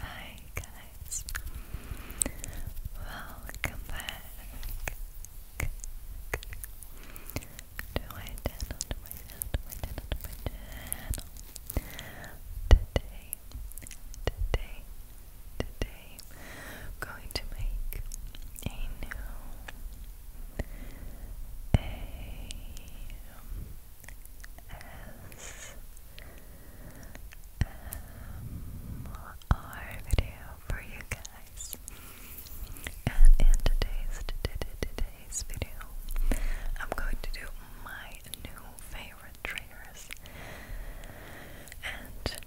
Hi guys, welcome back to my channel, my channel, my channel, my channel. Today, today, today, going to make a new video for you guys. And in today's today's video, I'm going to do my new favorite triggers. And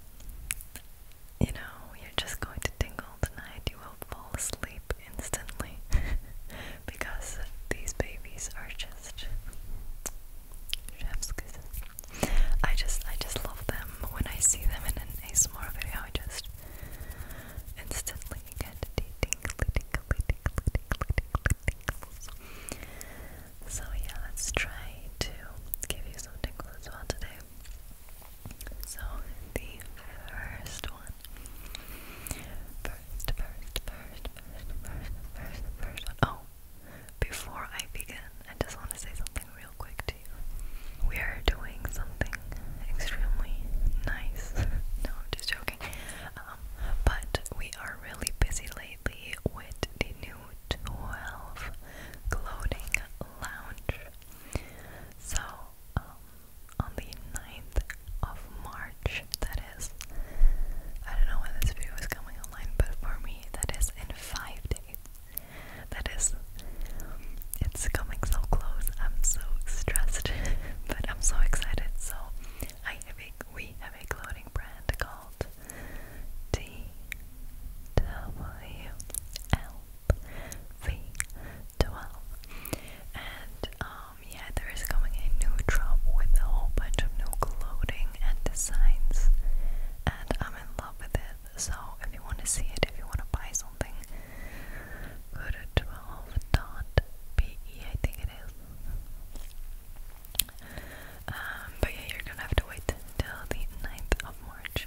you know, you're just going to tingle tonight. You will fall asleep instantly because these babies are just chef's kisses. I just, I just love them. When I see them in an ASMR video, I just instantly get the tingly, tingly, tingly, tingly, tingly, tingles. So yeah, let's try to give you some tingles as well today. So the first one. First, first, first, first, first, Oh, before I begin, I just want to say something real quick to you. We are doing something extremely nice. no, I'm just joking. Um, but we are really busy lately with the new 12 Gloating Lounge so, um, on the 9th of March, that is, I don't know when this video is coming online, but for me, that is in 5 days. That is, it's coming so close. I'm so stressed, but I'm so excited. So, I have a, we have a clothing brand called D W L V12. And um, yeah, there is coming a new drop with a whole bunch of new clothing and designs, and I'm in love with it. So if you want to see it, if you want to buy something, go to 12.be, I think it is. Um, but yeah, you're gonna have to wait till the 9th of March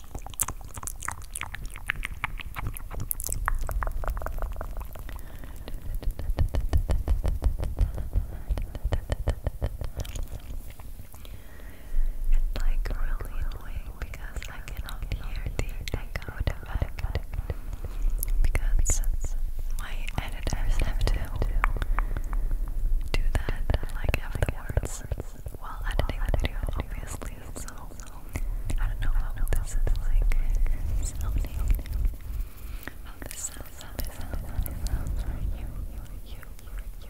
It's like really annoying because I cannot hear the echo effect because my editors have to do that like afterwards while editing the video obviously feel so, I don't know how this is like sounding. this sounds, this sounds, this sounds you, you, you, you, you.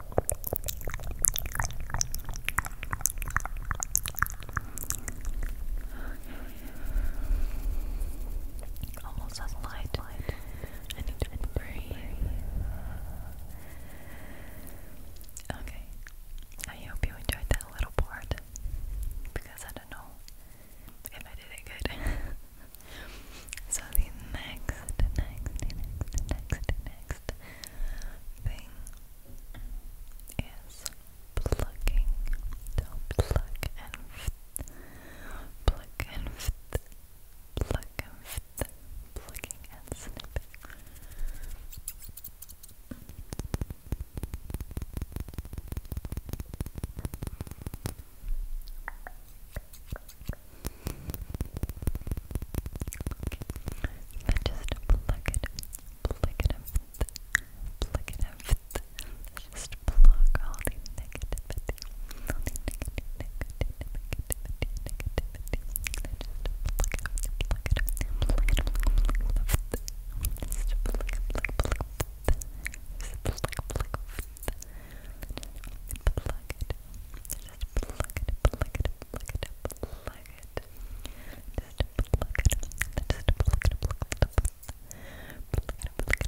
Almost has light. I need to breathe. Okay. I hope you enjoyed that little part because I don't know if I did it good. so the next, next, next, next, next next thing is plucking. So pluck and ft, pluck and ft, pluck and ft, plucking and snipping. Then just pluck it, pluck it up, pluck it Just pluck all the negativity, all the negative, negativity, negativity. just pluck it up, pluck it up, pluck it up, it Just pluck, pluck, pluck, just pluck, pluck, pluck. it, just it, pluck it, pluck it, plug it. Just plug it. Just plug it. Plug it. Plug it. Plug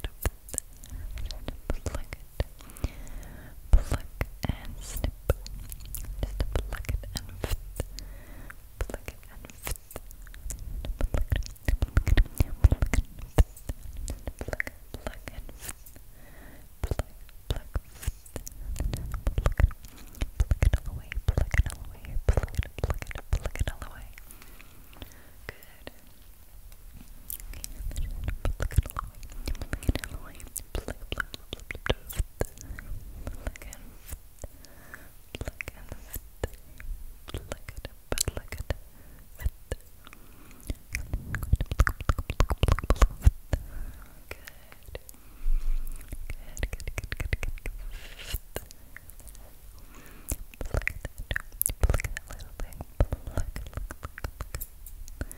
it. Plug it. Plug and snip. Just plug it and fit. Plug it and fit. Plug it. Plug it. Plug it. Plug it. Plug and fit pluck, pluck, pluck it, all away, pluck it all away, pluck it, pluck it, pluck it all away. Good. pluck it all away, pluck it all away, pluck, pluck, pluck, pluck, pluck, pluck it, pluck it, pluck it, pluck it, pluck it. Good. Good, good, good, good, good, good. Pluck that, pluck that little thing. Pluck, pluck, pluck, pluck.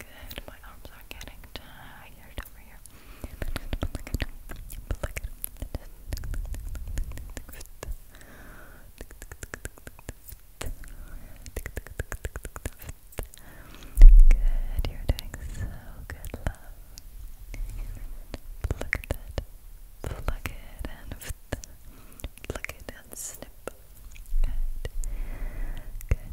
Good, my arms are getting tired over here. Good, you're doing so good, love. Look at that. it and pluck it and snip. Good. Good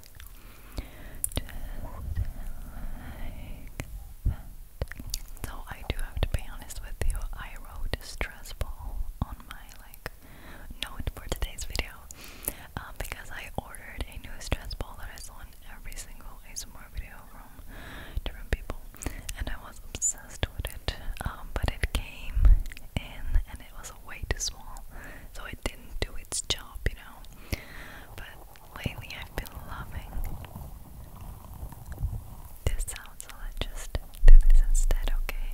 So I do have to be honest with you, I wrote stress ball on my like note for today's video um, because I ordered a new stress ball that I saw in every single ASMR video from different people and I was obsessed with it um, but it came in and it was way too small so it didn't do its job you know but Lately, I've been loving this sound, so let just do this instead, okay?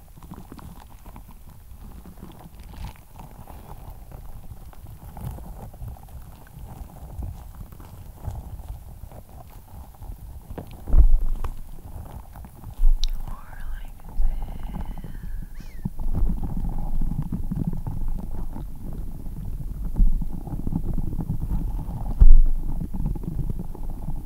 More like this.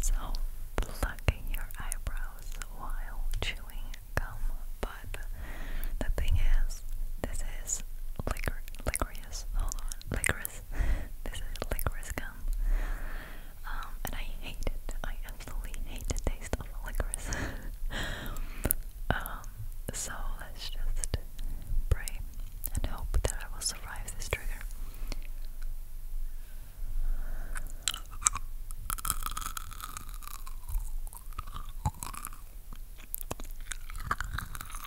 So, plucking your eyebrows while chewing gum, but the thing is, this is licor licorice. Hold on, licorice this is licorice gum. Um, and I hate it. I absolutely hate the taste of licorice. Um, so let's just pray and hope that I will survive this trigger.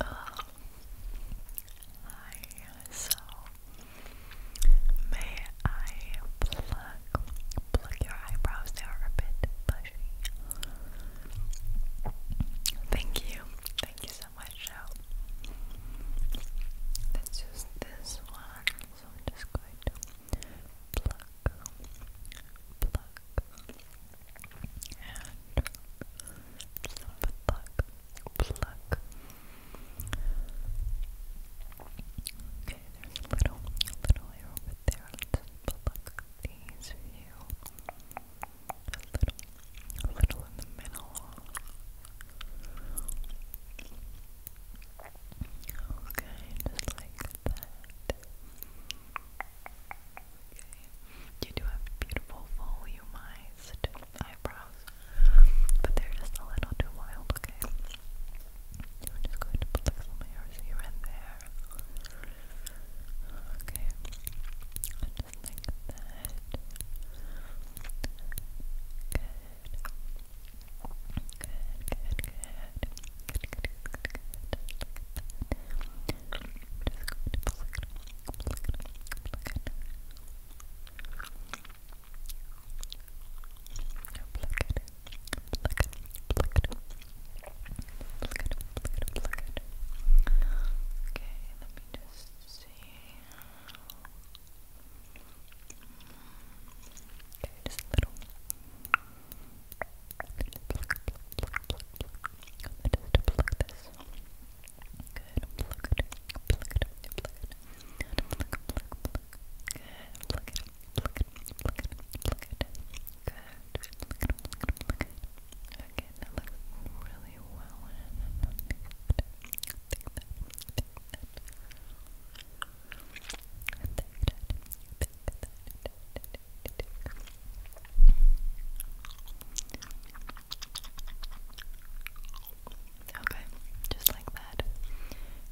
Hi, so may I pluck pluck your eyebrows? They are a bit bushy. Thank you, thank you so much. So let's use this one. So I'm just going to pluck, pluck, and just pluck, pluck. Okay, there's a little, little hair over there. pluck these few. A little, a little in the middle. Okay, just like that. Okay. You do have beautiful volumized eyebrows, but they're just a little too wild, okay? I'm just going to put like, some here and there. Okay. Good. Good, good, good. Good, good, good, Okay, let me just see. just little. Just pluck, this Good. Pluck it. Pluck it. Pluck it. Pluck, pluck, pluck. Good. Pluck it. Pluck it. Pluck it. Pluck it. Good. Pluck it. Pluck it. Pluck it. Okay, that looks really well. And I think that. Think that. Think that. Think that. Think that. Think that. Okay, just like that.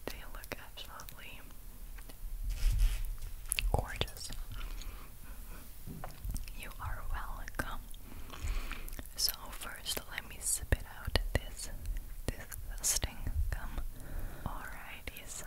They look absolutely gorgeous. You are welcome. So first, let me spit out this disgusting gum. Alrighty, so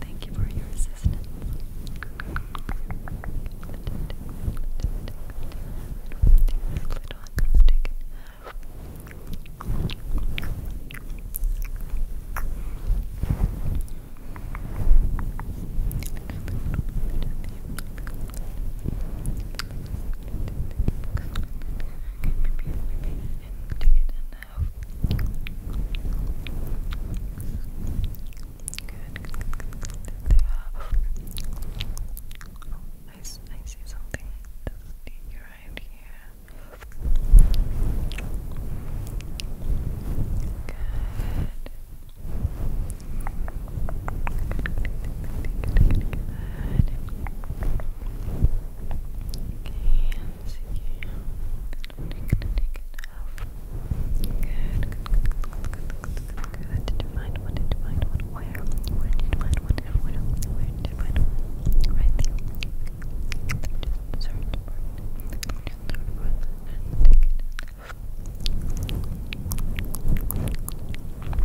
Thank you for your assistance. Good, good, They have. I, I see something right here. Good. Good, good, good, good, Good, good, Did you find one? Did you find one? Where? Where did you find one? Where? Where did you find one? Right there. Just search for it. Just search for it and take it. Just sort of put it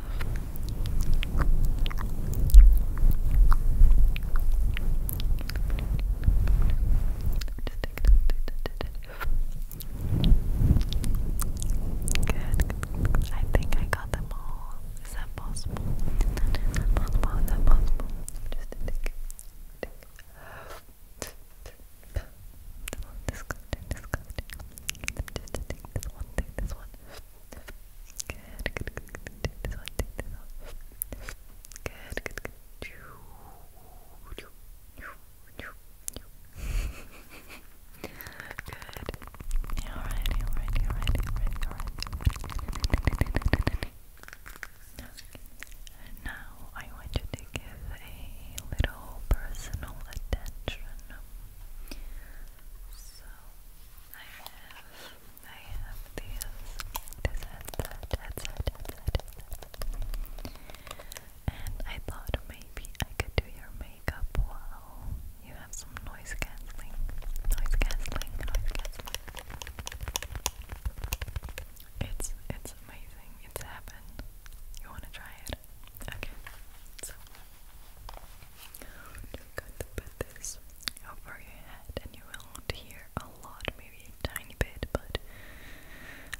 Good. I think I got them all. possible? possible? possible? Just a tick. Disgusting, This one, this one. Good, good, good, good. Take this one, take this one. Good, good, Now I want you to give a little personal attention. I have, I have these, this headset, headset, headset, And I thought maybe I could do your makeup while you have some noise cancelling, noise cancelling, noise cancelling. It's, it's amazing, it's heaven. You wanna try it? Okay, so you put this over your head and you will hear a lot, maybe a tiny bit, but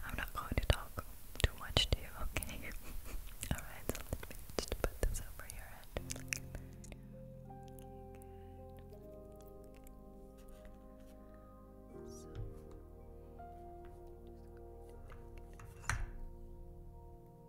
I'm not going to talk too much to you, okay? Alright, so let me just put this over your head.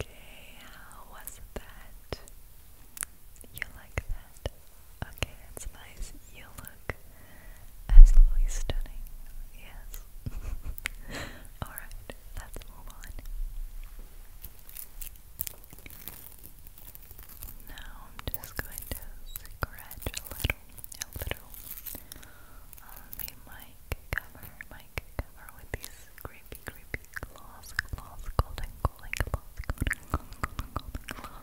Okay, how was that? You like that? Okay, it's nice. You look absolutely stunning. Yes. Alright, let's move on. Now I'm just going to scratch a little, a little on the cover, my mic cover with these creepy, creepy claws, claws, golden, golden claws, golden, golden, claws.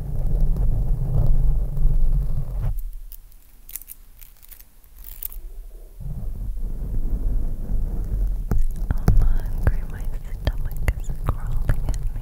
I'm hungry, my stomach is crawling at me.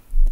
dot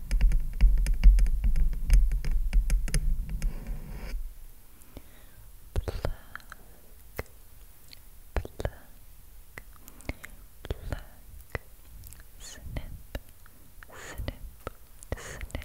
Pluck, pluck, pluck, snip, snip, snip. Pluck,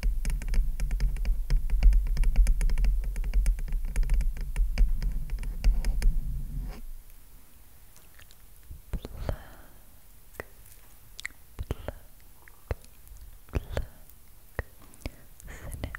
Pluck, pluck, pluck. Snip, snip, snip. Pluck,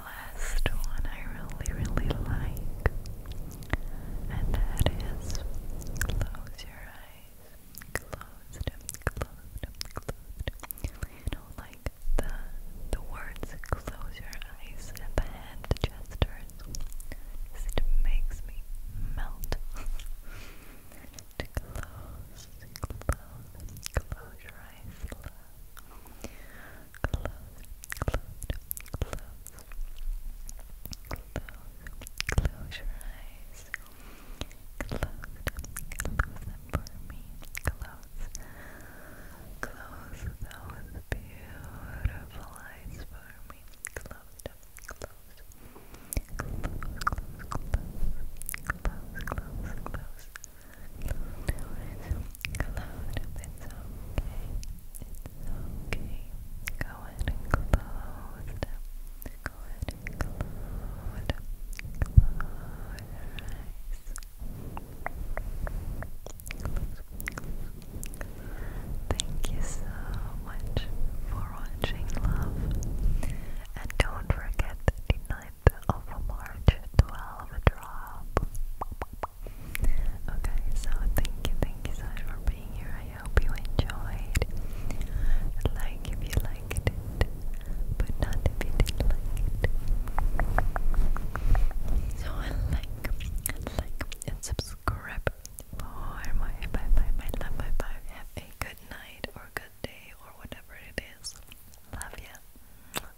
last one I really, really like, and that is close your eyes, closed closed closed You know, like the the words "close your eyes" and the hand gestures. Just makes me melt. to close, close, close your eyes close, close, close, close your eyes, close, close them for me, close, close those beautiful eyes for me, close them, close, close, close, close, close, close, close. Cloud, it's okay. It's okay. Go ahead and close Go ahead and close it up. Close your eyes. Thank you so much for watching, love. And don't forget the ninth of March 12 drop. Okay, so thank you, thank you so much for being here. I hope you enjoyed. Like if you liked it, but not if like it. So like, like, and subscribe for more. Bye bye, my love. Bye bye. Have a good night or good day or whatever it is. Love ya.